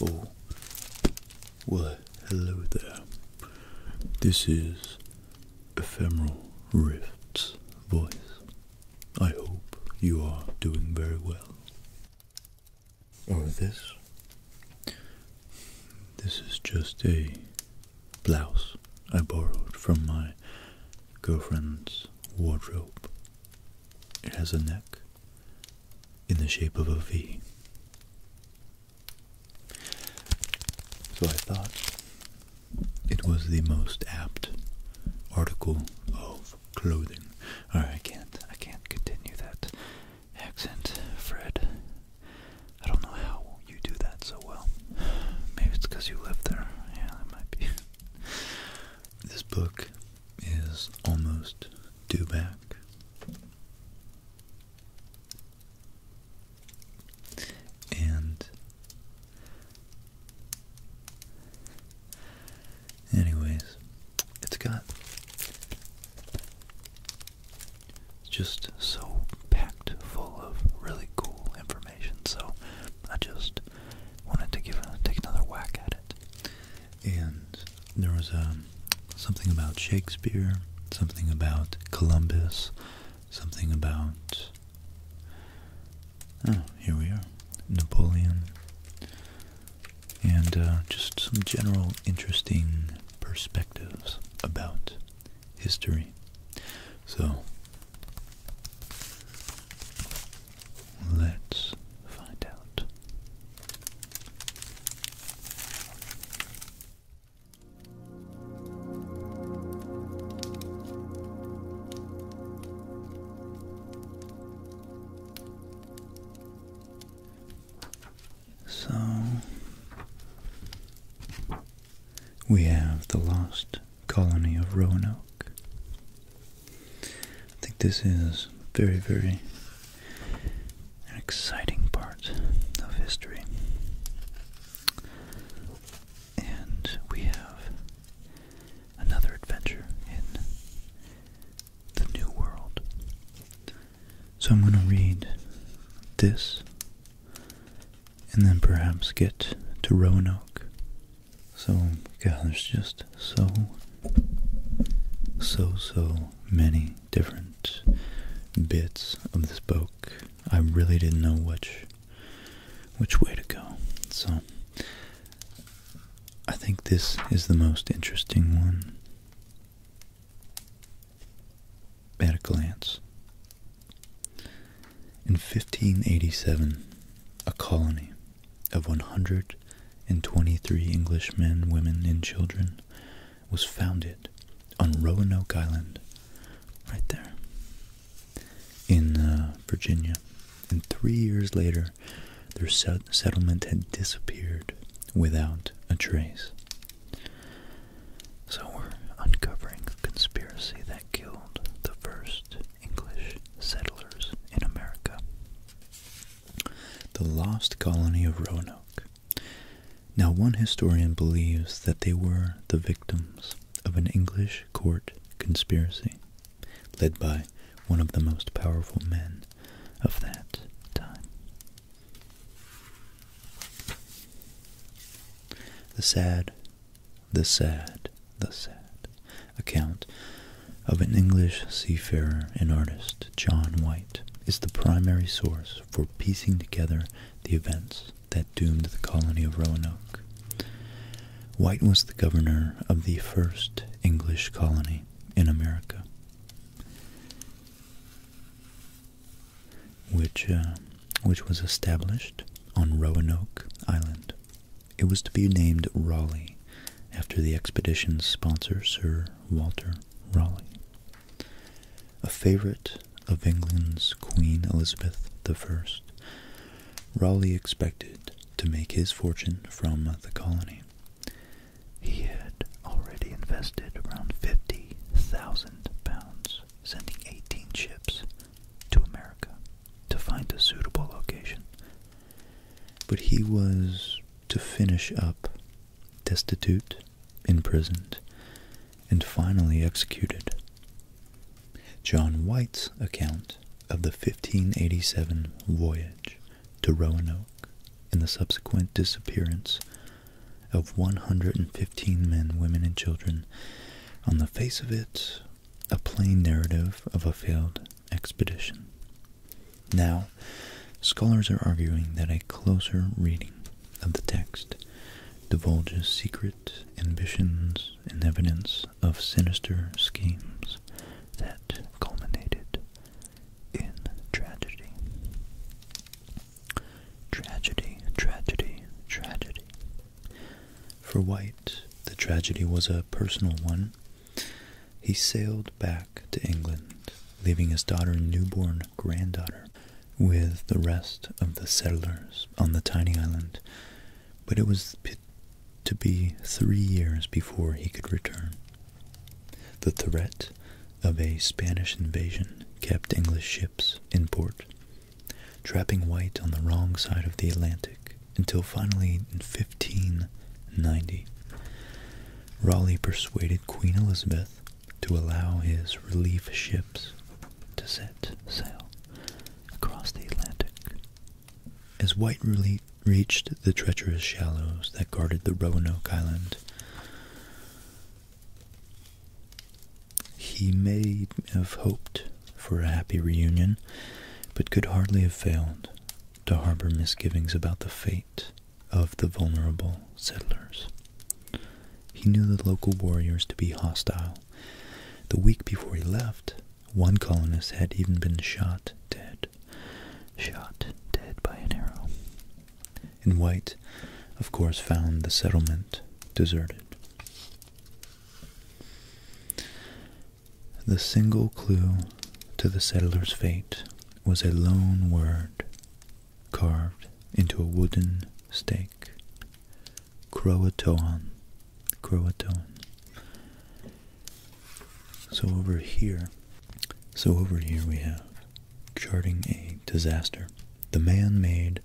Oh, well, hello there. This is Ephemeral Rift's voice. I hope you are doing very well or this. This is just a blouse I borrowed from my girlfriend's wardrobe. It has a neck in the shape of a V. So I thought it was the most apt article of clothing. I can't, I can't continue that accent, Fred. I don't know how you do that so well. Maybe it's you live there. Yeah, that might be. This book is almost due back. And Anyways, it's got just so packed full of really cool information, so I just wanted to give a, take another whack at it. And there was um, something about Shakespeare, something about Columbus, something about oh, here we are, Napoleon, and uh, just some general interesting perspectives about history. So, let's find out. So we have the lost colony of Roanoke. I think this is very, very exciting part of history. And we have another adventure in the New World. So I'm going to read this and then perhaps get to Roanoke. So, God, there's just so, so, so many different bits of this book. I really didn't know which, which way to go. So, I think this is the most interesting one at a glance. In 1587, a colony of 123 English men, women, and children was founded on Roanoke Island, right there, in uh, Virginia. And three years later, their settlement had disappeared without a trace. So we're uncovering the conspiracy that killed the first English settlers in America. The lost colony of Roanoke. Now, one historian believes that they were the victims of an English court conspiracy led by one of the most powerful men of that time. The sad, the sad, the sad account of an English seafarer and artist, John White, is the primary source for piecing together the events that doomed the colony of Roanoke. White was the governor of the first English colony in America, which uh, which was established on Roanoke Island. It was to be named Raleigh after the expedition's sponsor, Sir Walter Raleigh, a favorite of England's Queen Elizabeth I. Raleigh expected to make his fortune from the colony. He had already invested around 50,000 pounds, sending 18 ships to America to find a suitable location. But he was to finish up destitute, imprisoned, and finally executed. John White's account of the 1587 voyage to Roanoke and the subsequent disappearance of 115 men, women, and children. On the face of it, a plain narrative of a failed expedition. Now, scholars are arguing that a closer reading of the text divulges secret ambitions and evidence of sinister schemes that culminated in tragedy. Tragedy, tragedy, tragedy. For White, the tragedy was a personal one. He sailed back to England, leaving his daughter and newborn granddaughter with the rest of the settlers on the tiny island, but it was to be three years before he could return. The threat of a Spanish invasion kept English ships in port, trapping White on the wrong side of the Atlantic until finally in 1590, Raleigh persuaded Queen Elizabeth to allow his relief ships to set sail across the Atlantic. As White really reached the treacherous shallows that guarded the Roanoke Island. He may have hoped for a happy reunion, but could hardly have failed to harbor misgivings about the fate of the vulnerable settlers. He knew the local warriors to be hostile. The week before he left, one colonist had even been shot dead shot dead by an arrow. And White, of course, found the settlement deserted. The single clue to the settler's fate was a lone word carved into a wooden stake Croatoan. Croatoan. So over here, so over here we have charting a disaster. The man-made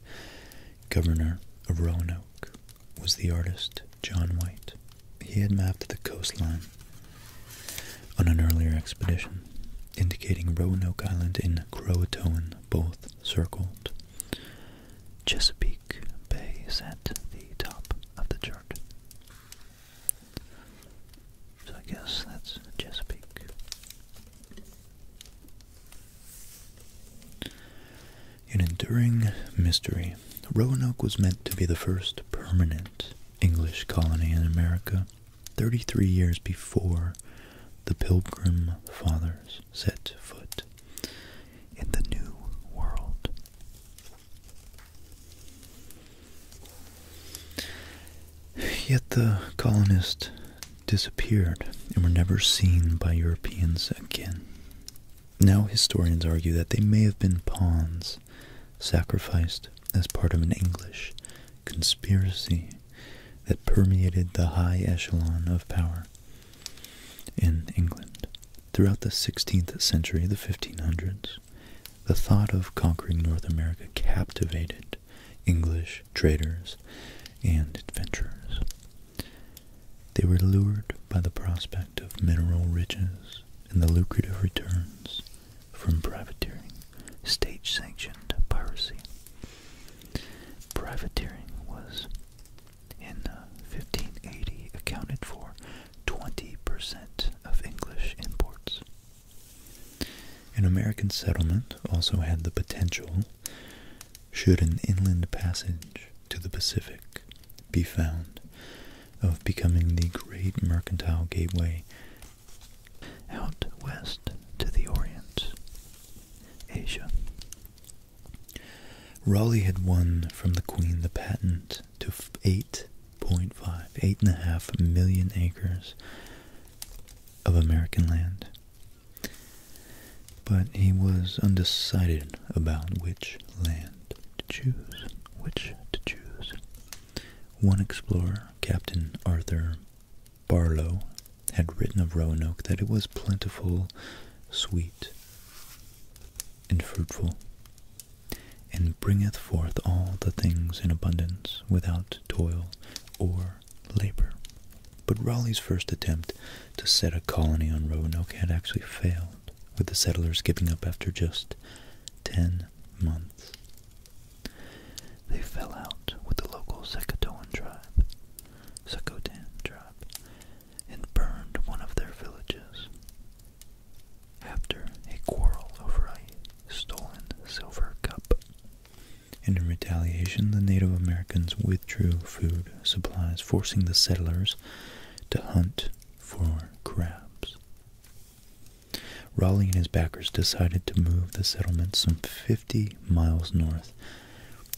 governor of Roanoke was the artist John White. He had mapped the coastline on an earlier expedition, indicating Roanoke Island in Croatoan both circled. Chesapeake Bay is at the top of the chart. So I guess that's Chesapeake. An enduring mystery, Roanoke was meant to be the first permanent English colony in America 33 years before the Pilgrim Fathers set foot in the New World. Yet the colonists disappeared and were never seen by Europeans again. Now historians argue that they may have been pawns sacrificed as part of an English conspiracy that permeated the high echelon of power in England. Throughout the 16th century, the 1500s, the thought of conquering North America captivated English traders and adventurers. They were lured by the prospect of mineral riches and the lucrative returns from privateering, state sanctioned piracy. Privateering was, in 1580, uh, accounted for 20% of English imports. An American settlement also had the potential, should an inland passage to the Pacific be found, of becoming the great mercantile gateway out west to the Orient, Asia. Raleigh had won from the Queen the patent to eight 8.5, 8.5 million acres of American land. But he was undecided about which land to choose. Which to choose. One explorer, Captain Arthur Barlow, had written of Roanoke that it was plentiful, sweet, and fruitful, and bringeth forth all the things in abundance without toil or labor. But Raleigh's first attempt to set a colony on Roanoke had actually failed, with the settlers giving up after just ten months. They fell out with the local Secatoan tribe, Secotan tribe, and burned one of their villages after a quarrel over a stolen silver cup. And in retaliation, the Native Americans withdrew food supplies, forcing the settlers to hunt for crabs. Raleigh and his backers decided to move the settlement some 50 miles north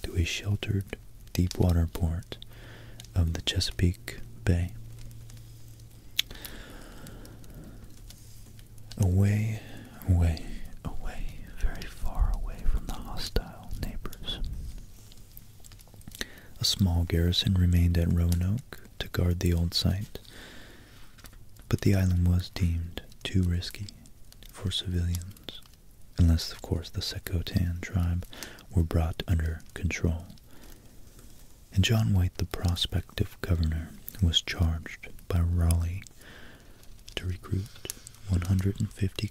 to a sheltered deep water port of the Chesapeake Bay. Away, away, away, very far away from the hostile neighbors. A small garrison remained at Roanoke to guard the old site, but the island was deemed too risky for civilians, unless, of course, the Secotan tribe were brought under control and John White, the prospective governor, was charged by Raleigh to recruit 150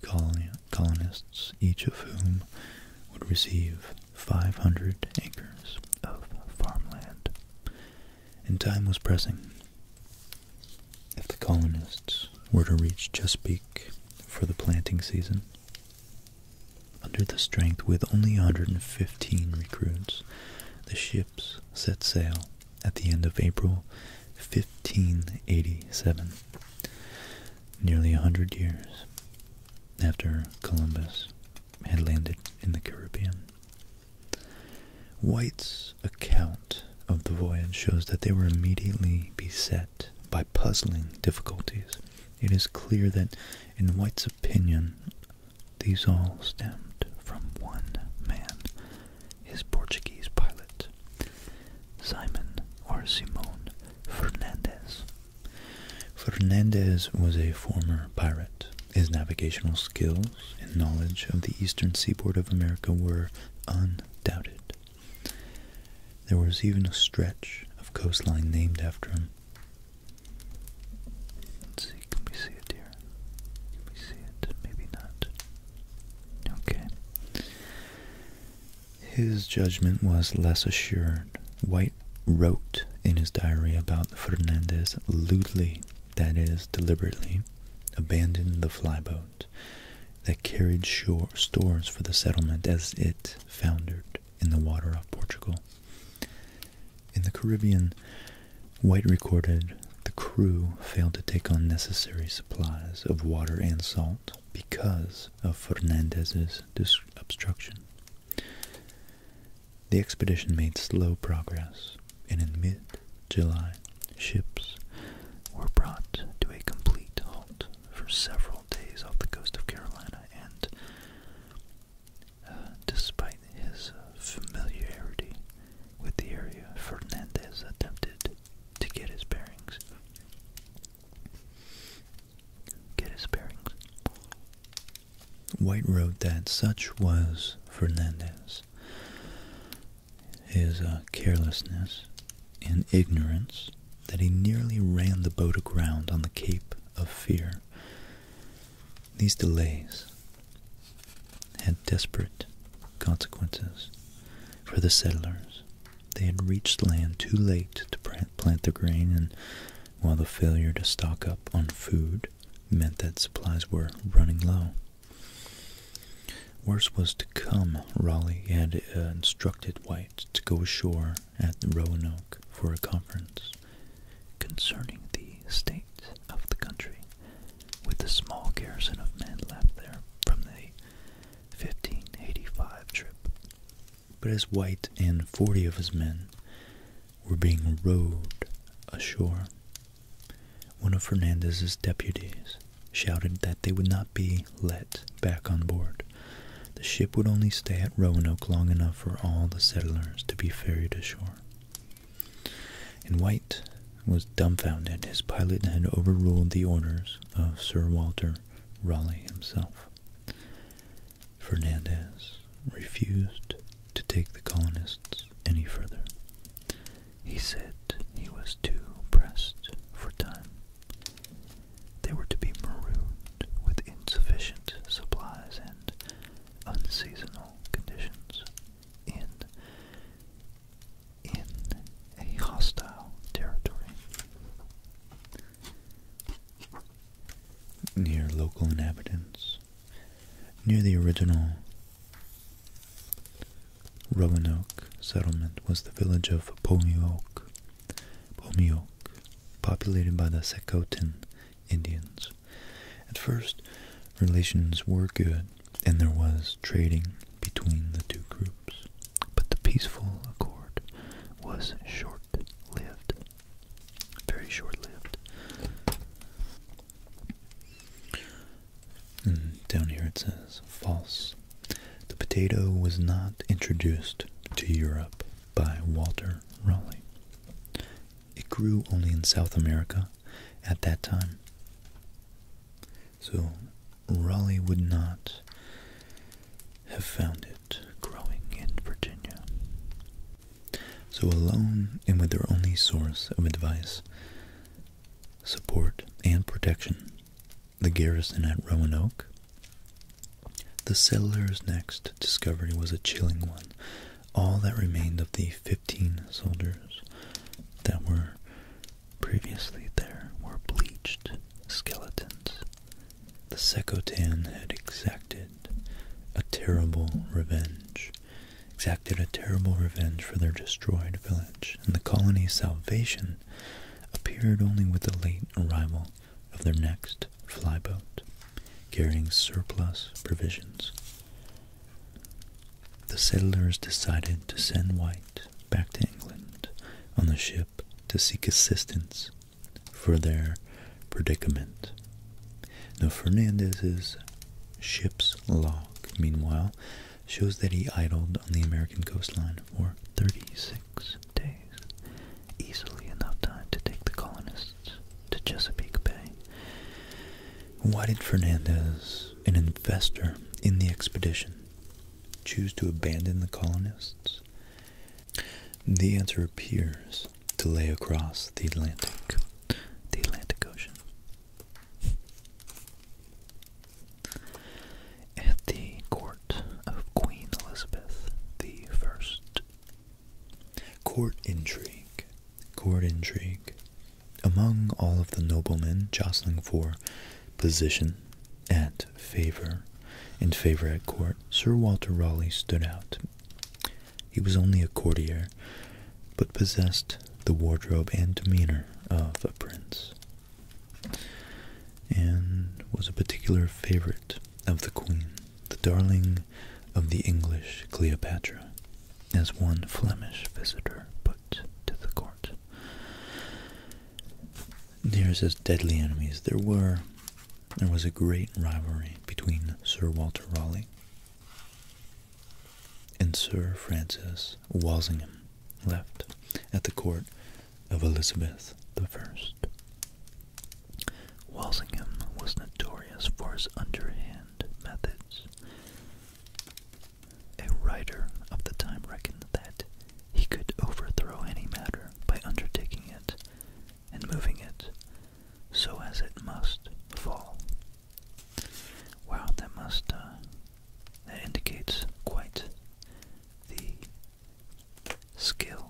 colonists, each of whom would receive 500 acres of farmland. And time was pressing. If the colonists were to reach Chesapeake for the planting season, under the strength with only 115 recruits, the ships set sail at the end of April 1587, nearly a hundred years after Columbus had landed in the Caribbean. White's account of the voyage shows that they were immediately beset by puzzling difficulties. It is clear that, in White's opinion, these all stemmed from one man, his Portuguese pilot, Simon or Simon Fernandez. Fernandez was a former pirate. His navigational skills and knowledge of the eastern seaboard of America were undoubted. There was even a stretch of coastline named after him, see, can we see it here? Can we see it? Maybe not. Okay. His judgment was less assured. White wrote in his diary about Fernandez lewdly, that is, deliberately, abandoned the flyboat that carried shore stores for the settlement as it foundered in the water off Portugal. In the Caribbean, White recorded the crew failed to take on necessary supplies of water and salt because of Fernandez's obstruction. The expedition made slow progress, and in mid-July, ships were brought to a complete halt for several days off the coast of Carolina and despite his familiarity with the area, Fernandez attempted to get his bearings. Get his bearings. White wrote that such was Fernandez. Uh, carelessness and ignorance that he nearly ran the boat aground on the Cape of Fear these delays had desperate consequences for the settlers. They had reached land too late to plant their grain, and while the failure to stock up on food meant that supplies were running low. Worse was to come. Raleigh had uh, instructed White to go ashore at Roanoke for a conference concerning the state of the country, with the small garrison of men left there from the 1585 trip. But as White and forty of his men were being rowed ashore, one of Fernandez's deputies shouted that they would not be let back on board. The ship would only stay at Roanoke long enough for all the settlers to be ferried ashore. And White was dumbfounded. His pilot had overruled the orders of Sir Walter Raleigh himself. Fernandez refused to take the colonists any further. He said he was too pressed for time. They were to be marooned with insufficient supplies and unseasonal conditions in in a hostile territory. Near local inhabitants, near the original Roanoke settlement was the village of Pomioke, Pomioke populated by the Secotin Indians. At first, relations were good, and there was trading between the two groups, but the peaceful accord was short-lived, very short-lived. And down here it says, false. The potato was not introduced to Europe by Walter Raleigh. It grew only in South America at that time. So Raleigh would not have found it growing in Virginia. So alone and with their only source of advice, support, and protection, the garrison at Roanoke, the settlers' next discovery was a chilling one all that remained of the 15 soldiers that were previously there were bleached skeletons. The Sekotan had exacted a terrible revenge, exacted a terrible revenge for their destroyed village, and the colony's salvation appeared only with the late arrival of their next flyboat carrying surplus provisions. The settlers decided to send White back to England on the ship to seek assistance for their predicament. Now, Fernandez's ship's log, meanwhile, shows that he idled on the American coastline for 36 days, easily enough time to take the colonists to Chesapeake Bay. Why did Fernandez, an investor in the expedition, choose to abandon the colonists? The answer appears to lay across the Atlantic, the Atlantic Ocean. At the court of Queen Elizabeth I, court intrigue court intrigue. Among all of the noblemen jostling for position and favor and favor at court, Sir Walter Raleigh stood out. He was only a courtier, but possessed the wardrobe and demeanor of a prince, and was a particular favorite of the queen the darling of the English Cleopatra, as one Flemish visitor put to the court. Near as deadly enemies there were, there was a great rivalry between Sir Walter Raleigh and Sir Francis Walsingham left at the court of Elizabeth I. Walsingham was notorious for his underhand methods. A writer of the time reckoned that he could overthrow any matter by undertaking it and moving it so as it must fall. Wow, that must, uh, that indicates quite the skill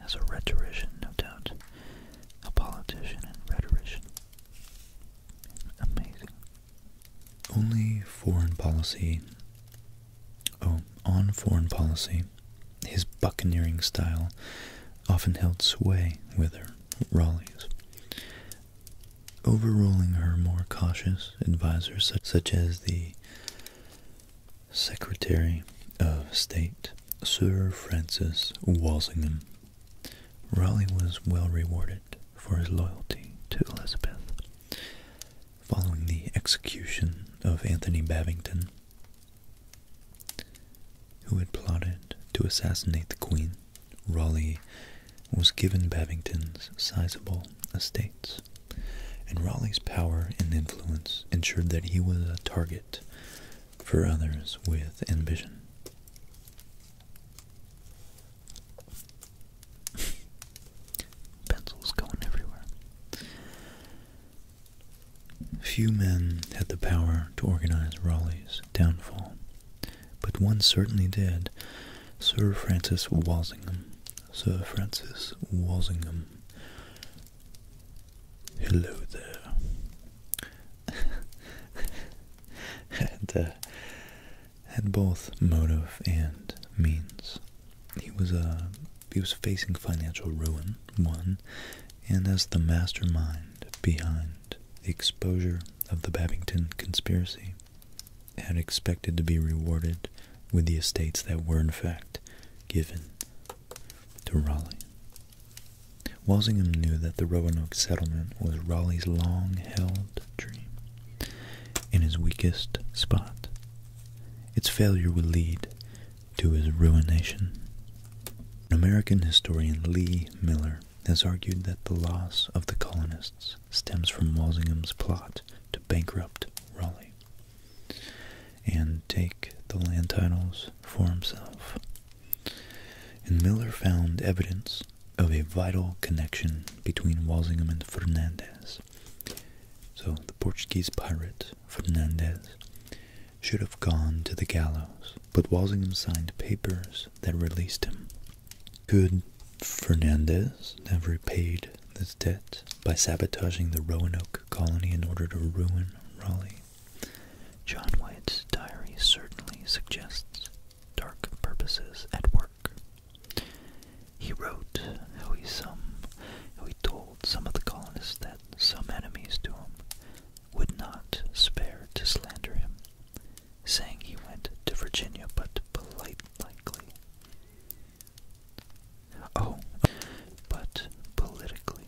as a rhetorician, no doubt a politician and rhetorician. Amazing. Only foreign policy. Oh, on foreign policy, his buccaneering style often held sway with her, Raleigh's, overruling her more cautious advisers, such, such as the Secretary of State, Sir Francis Walsingham, Raleigh was well rewarded for his loyalty to Elizabeth. Following the execution of Anthony Babington, who had plotted to assassinate the Queen, Raleigh was given Babington's sizable estates, and Raleigh's power and influence ensured that he was a target for others with ambition. Pencils going everywhere. Few men had the power to organize Raleigh's downfall, but one certainly did. Sir Francis Walsingham. Sir Francis Walsingham Hello there. Uh, had, both motive and means. He was uh, he was facing financial ruin, one, and as the mastermind behind the exposure of the Babington conspiracy, had expected to be rewarded with the estates that were in fact given to Raleigh. Walsingham knew that the Roanoke settlement was Raleigh's long-held dream in his weakest spot. Its failure will lead to his ruination. American historian Lee Miller has argued that the loss of the colonists stems from Walsingham's plot to bankrupt Raleigh and take the land titles for himself and Miller found evidence of a vital connection between Walsingham and Fernandez. So the Portuguese pirate Fernandez should have gone to the gallows, but Walsingham signed papers that released him. Could Fernandez have repaid this debt by sabotaging the Roanoke colony in order to ruin Raleigh? John White's diary certainly suggests dark purposes at work. He wrote how he some how he told some of the colonists that some enemies to him would not spare to slander him, saying he went to Virginia but politely. Oh, but politically.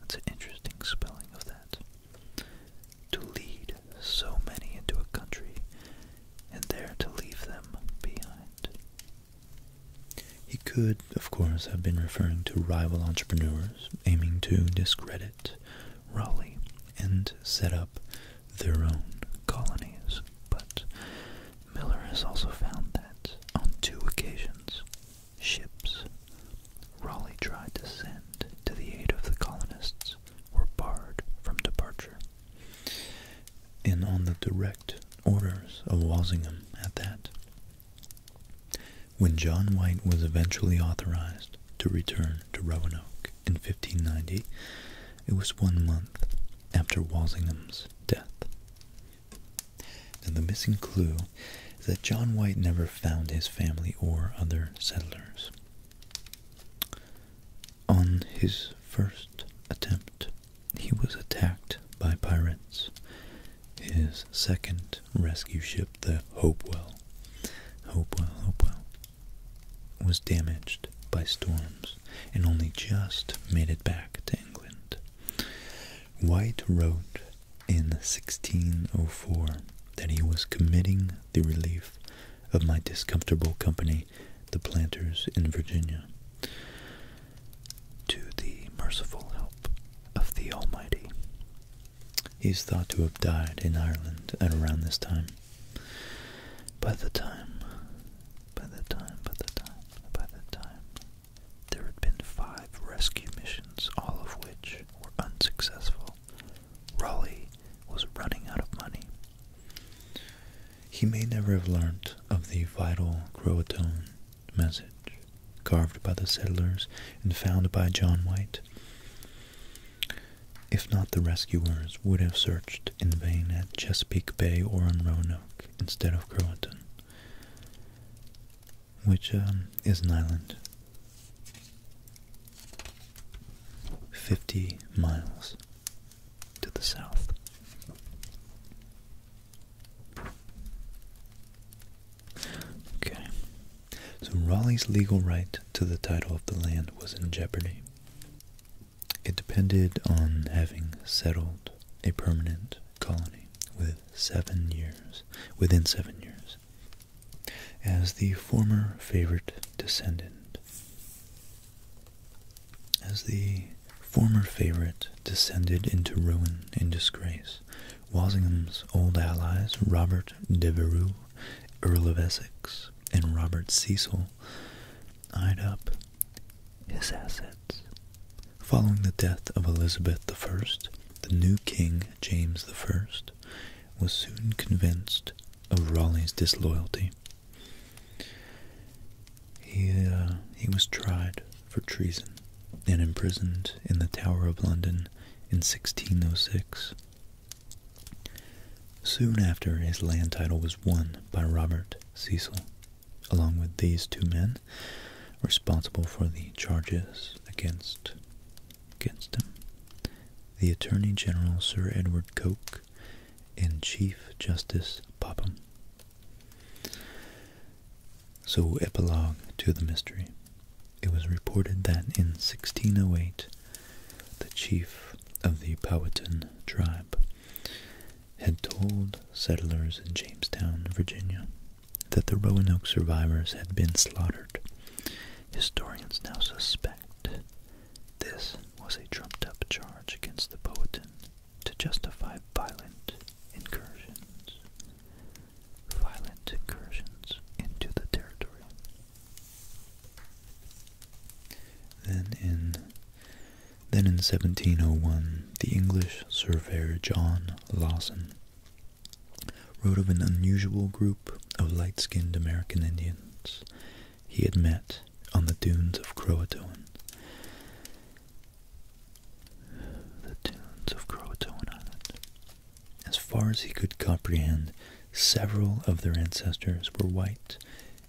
That's an interesting spelling of that to lead so many into a country and there to leave them behind. He could, of course, have been referring to rival entrepreneurs aiming to discredit Raleigh and set up their own colonies, but Miller has also found that on two occasions Ships Raleigh tried to send to the aid of the colonists were barred from departure. And on the direct orders of Walsingham at that, when John White was eventually authorized to return to Roanoke in 1590, it was one month after Walsingham's death. and the missing clue that John White never found his family or other settlers. On his first attempt, he was attacked by pirates. His second rescue ship, the Hopewell, Hopewell, Hopewell, was damaged by storms and only just made it back to England. White wrote in 1604 that he was committing the relief of my discomfortable company, the planters in Virginia, to the merciful help of the Almighty. He is thought to have died in Ireland at around this time. By the time, by the time, by the time, by the time, there had been five rescue missions, all of which were unsuccessful, Raleigh was running out of money. He may never have learnt of the vital Croatone message carved by the settlers and found by John White. If not, the rescuers would have searched in vain at Chesapeake Bay or on Roanoke instead of Croatan which um, is an island 50 miles to the south. Okay, so Raleigh's legal right to the title of the land was in jeopardy. It depended on having settled a permanent colony within seven years as the former favorite descendant. As the former favorite descended into ruin and disgrace, Walsingham's old allies Robert Devereux, Earl of Essex, and Robert Cecil eyed up his assets. Following the death of Elizabeth I, the new king James I was soon convinced of Raleigh's disloyalty. He, uh, he was tried for treason and imprisoned in the Tower of London in 1606. Soon after, his land title was won by Robert Cecil, along with these two men responsible for the charges against against him. The Attorney General Sir Edward Coke and Chief Justice Popham. So, epilogue to the mystery. It was reported that in 1608, the chief of the Powhatan tribe had told settlers in Jamestown, Virginia, that the Roanoke survivors had been slaughtered. Historians now suspect this was a trumped-up charge against the Powhatan to justify violent incursions, violent incursions into the territory. Then in then in 1701, the English surveyor John Lawson wrote of an unusual group of light-skinned American Indians he had met on the dunes of Croatoan. The dunes of Croatoan Island. As far as he could comprehend, several of their ancestors were white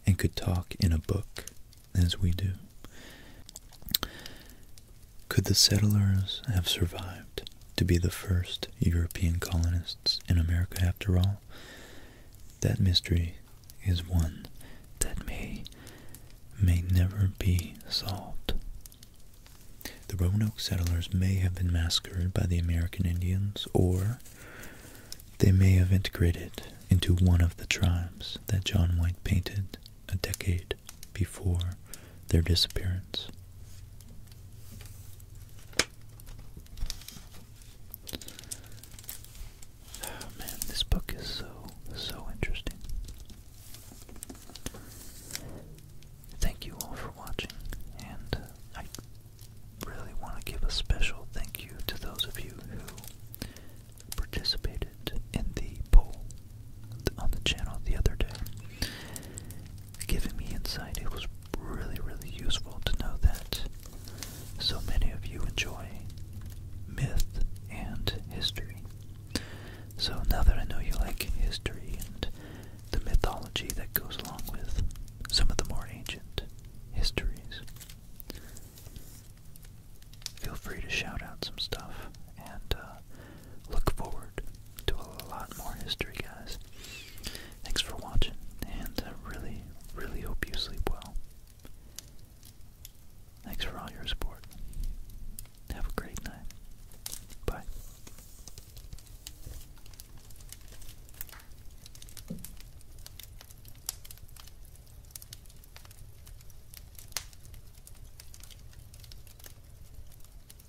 and could talk in a book as we do. Could the settlers have survived to be the first European colonists in America after all? That mystery is one that may may never be solved. The Roanoke settlers may have been massacred by the American Indians, or they may have integrated into one of the tribes that John White painted a decade before their disappearance. Oh, man, this book is so, so interesting. Thank you all for watching, and uh, I really want to give a special thank you to those of you who participated in the poll on the channel the other day giving me insight. It was really, really useful to know that so many of you enjoy myth and history. So now that I know you like history and the mythology that goes along with some of the more ancient histories, feel free to shout out some stuff and uh, look forward to a lot more history, guys. Thanks for watching, and I really, really hope you sleep well. Thanks for all your support. Have a great night. Bye.